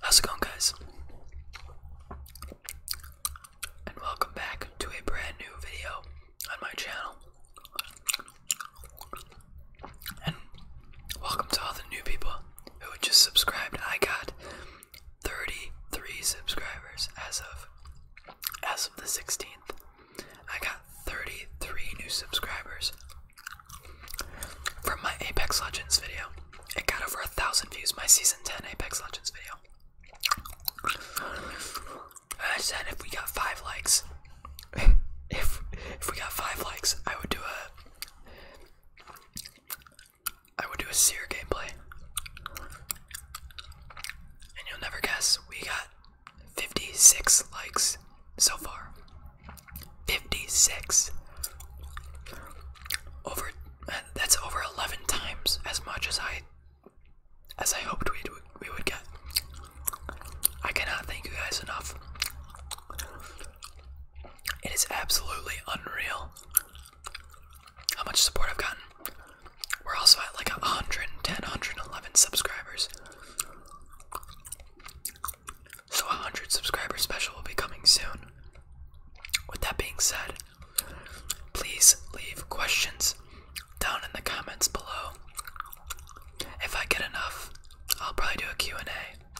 How's it going, guys? And welcome back to a brand new video on my channel. And welcome to all the new people who just subscribed. I got 33 subscribers as of as of the 16th. I got 33 new subscribers from my Apex Legends video. It got over a thousand views, my season 10 Apex Legends video. I said if we got five likes, if if we got five likes, I would do a I would do a seer gameplay. And you'll never guess, we got 56 likes so far. 56. Over uh, that's over 11 times as much as I as I hoped we we would get. I cannot thank you guys enough. It is absolutely unreal how much support I've gotten. We're also at like 110, 111 subscribers. So, a 100 subscribers special will be coming soon. With that being said, please leave questions down in the comments below. If I get enough, I'll probably do a Q&A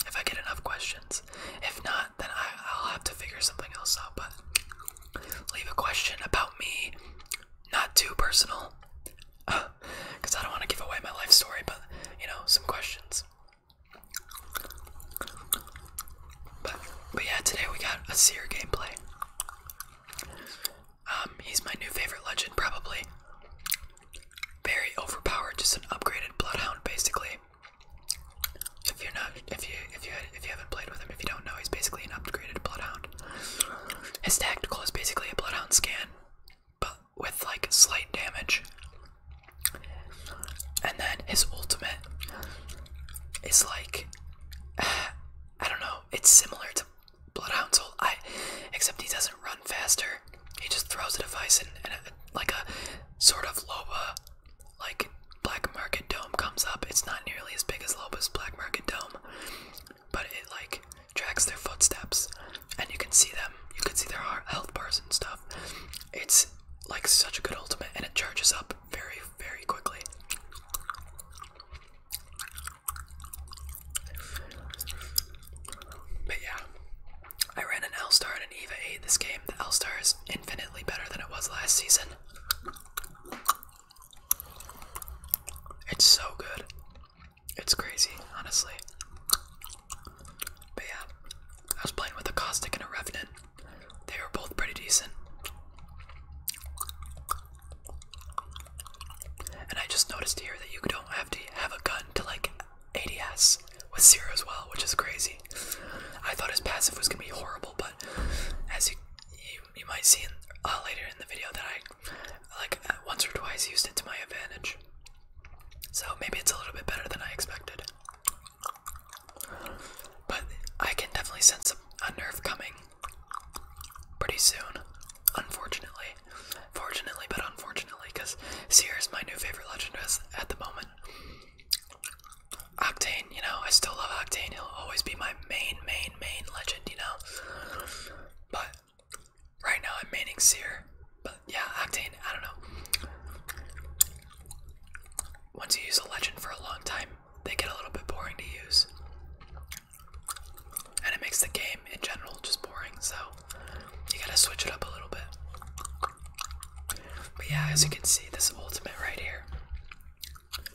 if I get enough questions. If not, then I, I'll have to figure something else out, but leave a question about me, not too personal, because I don't want to give away my life story, but you know, some questions. But, but yeah, today we got a seer gameplay. Um, he's my new favorite legend, probably. Very overpowered, just an upgraded bloodhound, basically. If you're not, if you if you if you haven't played with him, if you don't know, he's basically an upgraded Bloodhound. His tactical is basically a Bloodhound scan, but with like slight damage. And then his ultimate is like I don't know. It's similar to bloodhound ult, I except he doesn't run faster. He just throws a device and, like a sort of Loba like Black Market Dome comes up. It's not nearly as big as Loba's Black Market Dome, but it like tracks their footsteps, and you can see them. You can see their health bars and stuff. It's like such a good ultimate, and it charges up very, very quickly. But yeah, I ran an L star and an Eva 8 this game. The L star is infinitely better than it was last season. It's so good. It's crazy, honestly. But yeah, I was playing with a Caustic and a Revenant. They were both pretty decent. And I just noticed here that you don't have to have a gun to like ADS with zero as well, which is crazy. I thought his passive was gonna be horrible, but as you you, might see in, uh, later in the video that I like uh, once or twice used it to my advantage. So maybe it's a little bit better than I expected. But I can definitely sense a, a coming pretty soon. Unfortunately. Fortunately, but unfortunately, because Seer is my new favorite legend at the moment. Octane, you know, I still love Octane. He'll always be my main, main, main legend, you know. But right now I'm maining Seer. But yeah, Octane, I don't know. Once you use a legend for a long time, they get a little bit boring to use. And it makes the game in general just boring, so you gotta switch it up a little bit. But yeah, as you can see, this ultimate right here.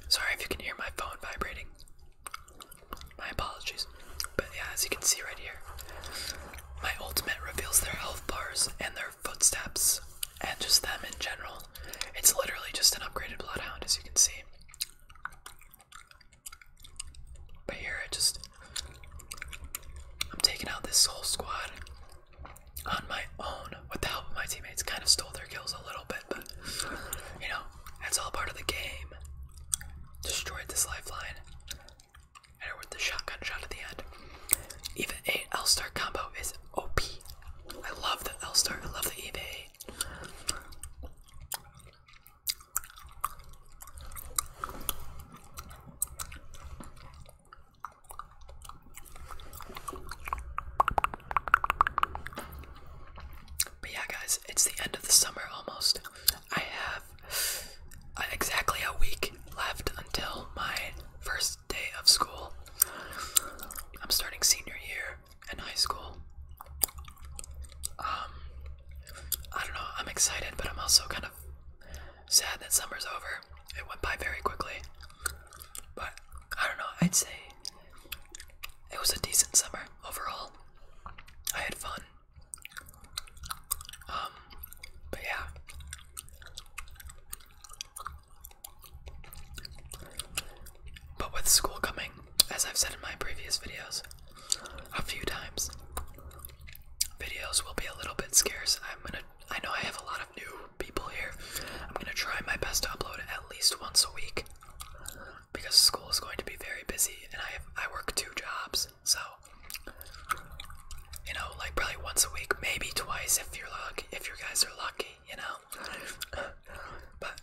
Sorry if you can hear my phone vibrating. My apologies. But yeah, as you can see right here, my ultimate reveals their health bars and their footsteps and just them in general. It's literally just an upgraded bloodhound, as you can see. But here I just I'm taking out this whole squad on my own with the help of my teammates. Kind of stole their kills a little bit, but you know, it's all part of the game. Destroyed this lifeline. And with the shotgun shot at the end. EVA a L star combo is OP. I love the L star, I love the EVA 8. But yeah, guys, it's the end of the summer almost. I have uh, exactly a week left until my first day of school. I'm starting senior year in high school. Um, I don't know, I'm excited, but I'm also kind of sad that summer's over it went by very quickly. But I don't know, I'd say it was a decent summer overall. I had fun. Um, but yeah. But with school coming, as I've said in my previous videos a few times, videos will be a little bit scarce. I'm gonna I know I have a lot of new people here. I'm gonna try my best to upload at least once a week because school is going to be very busy, and I have, I work two jobs, so you know, like probably once a week, maybe twice if you're lucky, if you guys are lucky, you know. But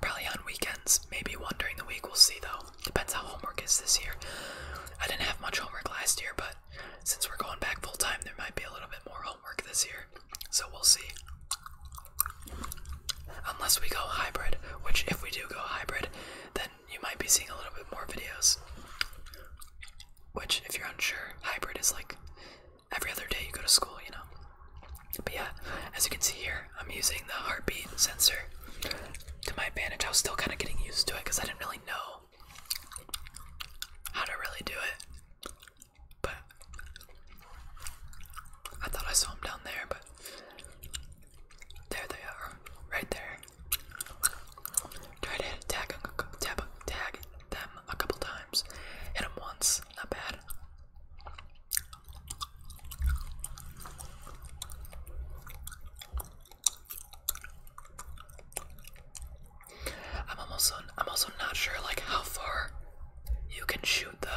probably on weekends, maybe one during the week. We'll see though. Depends how homework is this year. I didn't have much homework last year, but since we're going back full time, there might be a little bit more homework this year. So we'll see. Unless we go hybrid, which if we do go hybrid, then you might be seeing a little bit more videos. Which, if you're unsure, hybrid is like every other day you go to school, you know. But yeah, as you can see here, I'm using the heartbeat sensor to my advantage. I was still kind of getting used to it because I didn't really know how to really do it, but I thought I saw him down there, but there they are, right there. Try to tag, tag, tag them a couple times. Hit them once, not bad. I'm almost on, I'm also not sure like how far you can shoot the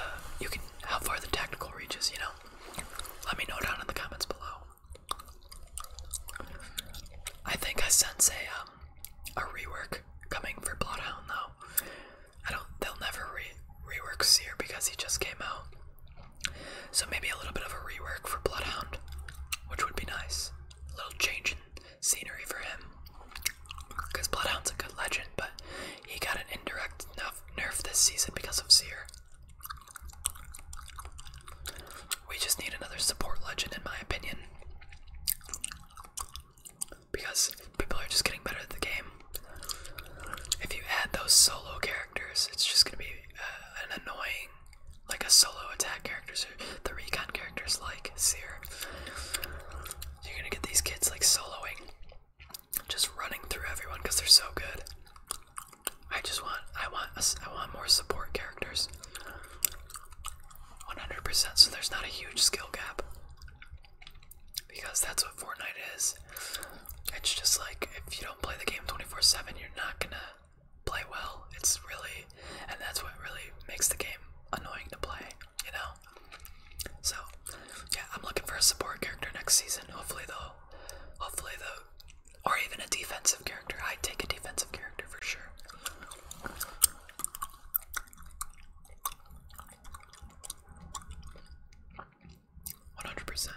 you can how far the tactical reaches, you know. Let me know down in the comments below. I think I sense a um a rework coming for Bloodhound though. I don't they'll never re rework Seer because he just came out. So maybe a little bit of a rework for Bloodhound, which would be nice. A little change in scenery for him. Because Bloodhound's a good legend, but he got an indirect enough nerf this season because of Seer. We just need another support legend, in my opinion. Because people are just getting better at the game. If you add those solo characters, it's just gonna be an annoying, like a solo attack characters or the recon characters like Seer. You're gonna get these kids like soloing, just running through everyone because they're so good. I just want, I want, I want more support characters. 100%. So there's not a huge skill gap because that's what Fortnite is. It's just like if you don't play the game 24/7, you're not gonna play well. It's really, and that's what really makes the game annoying to play, you know. So, yeah, I'm looking for a support character next season. Hopefully, though, hopefully though, or even a defensive character. I take a defensive character for sure. One hundred percent.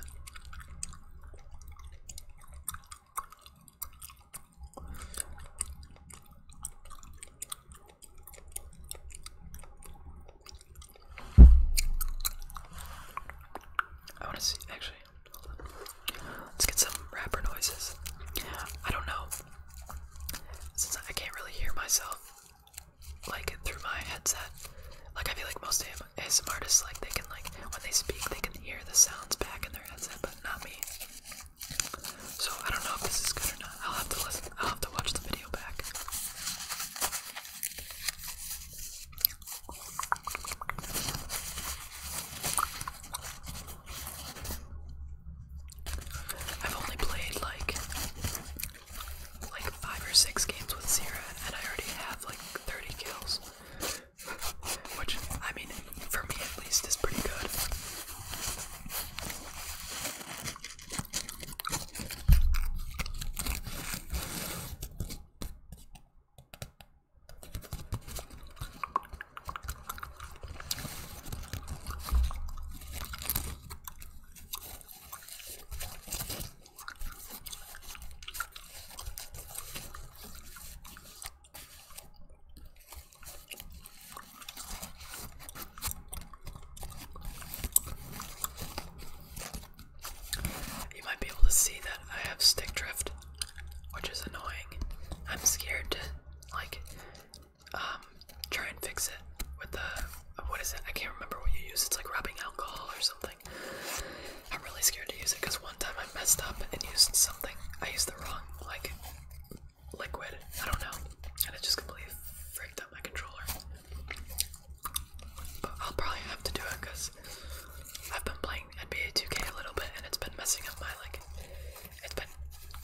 I want to see. Actually, let's get some rapper noises. I don't know, since I can't really hear myself like through my headset. Like I feel like most of them, ASM artists, like they can like when they speak, they can hear the sounds back in their headset, but not me. So I don't know if this is good or not. I'll have to listen. I'll have to watch the video back. I've only played like like five or six games with Sierra, and I already have like 30 kills, which I mean, for me at least, is pretty good. You might be able to see that I have stick drift, which is annoying. I'm scared to like um, try and fix it with the what is it? I can't remember what you use. It's like rubbing alcohol or something. I'm really scared to use it because one time I messed up and used something. I used the wrong like liquid. I don't know, and it just completely freaked out my controller. But I'll probably have to do it because I've been playing NBA 2K a little bit and it's been messing up my like. It's been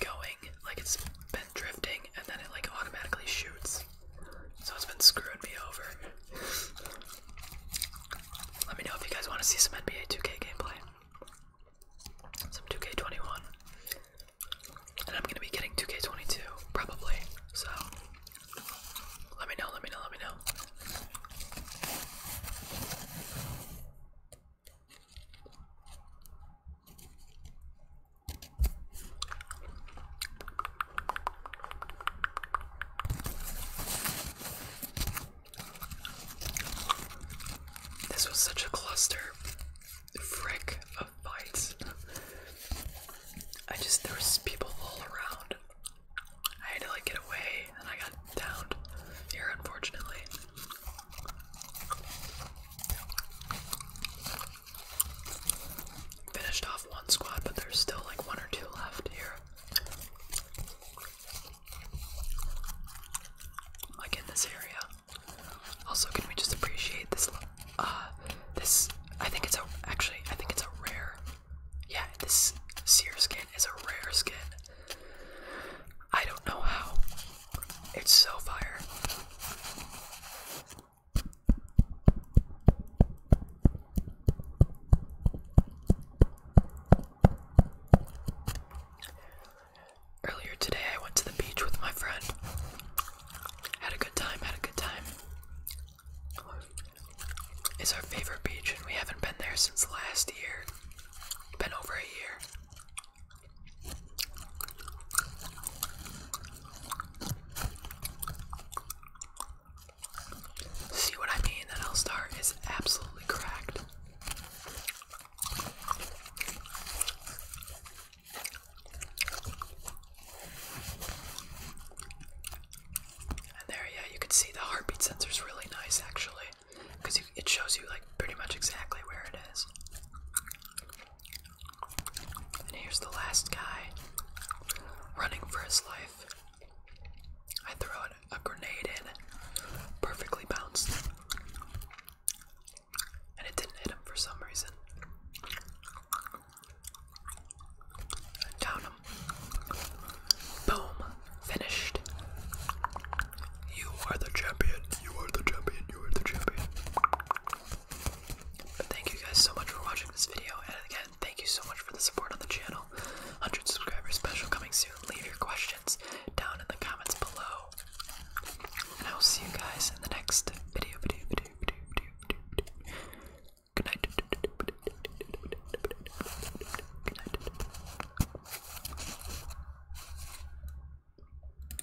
going like it's been drifting and then it like automatically shoots so it's been screwing me over. Let me know if you guys want to see some NBA 2K gameplay. Some 2K21. And I'm going to be getting 2K22, probably. So, let me know, let me know, let me know. This was such a cluster frick of bites. I just there was people all around. I had to like get away and I got downed here unfortunately. Finished off one squad, but there's still like one or two left here. Like in this area. Also, can we just appreciate this? Uh, this I think it's a actually I think it's a rare. Yeah, this seer is a rare skin. I don't know how. It's so fire. Earlier today, I went to the beach with my friend. Had a good time, had a good time. It's our favorite beach, and we haven't been there since last year. Been over a year. See what I mean? That L Star is absolutely cracked. And there, yeah, you can see the heartbeat sensor is really nice actually because it shows you like pretty much exactly where it is. And here's the last guy running for his life. I throw a grenade in, perfectly bounced. And it didn't hit him for some reason. Down him. Boom. Finished. You are the champion. You are the champion. You are the champion. But thank you guys so much for watching this video, and again, thank you so much for the support on the channel. 100 subscribers special coming soon. Leave your questions down in the comments below. And I will see you guys in the next video, video, video, video, video, video, video.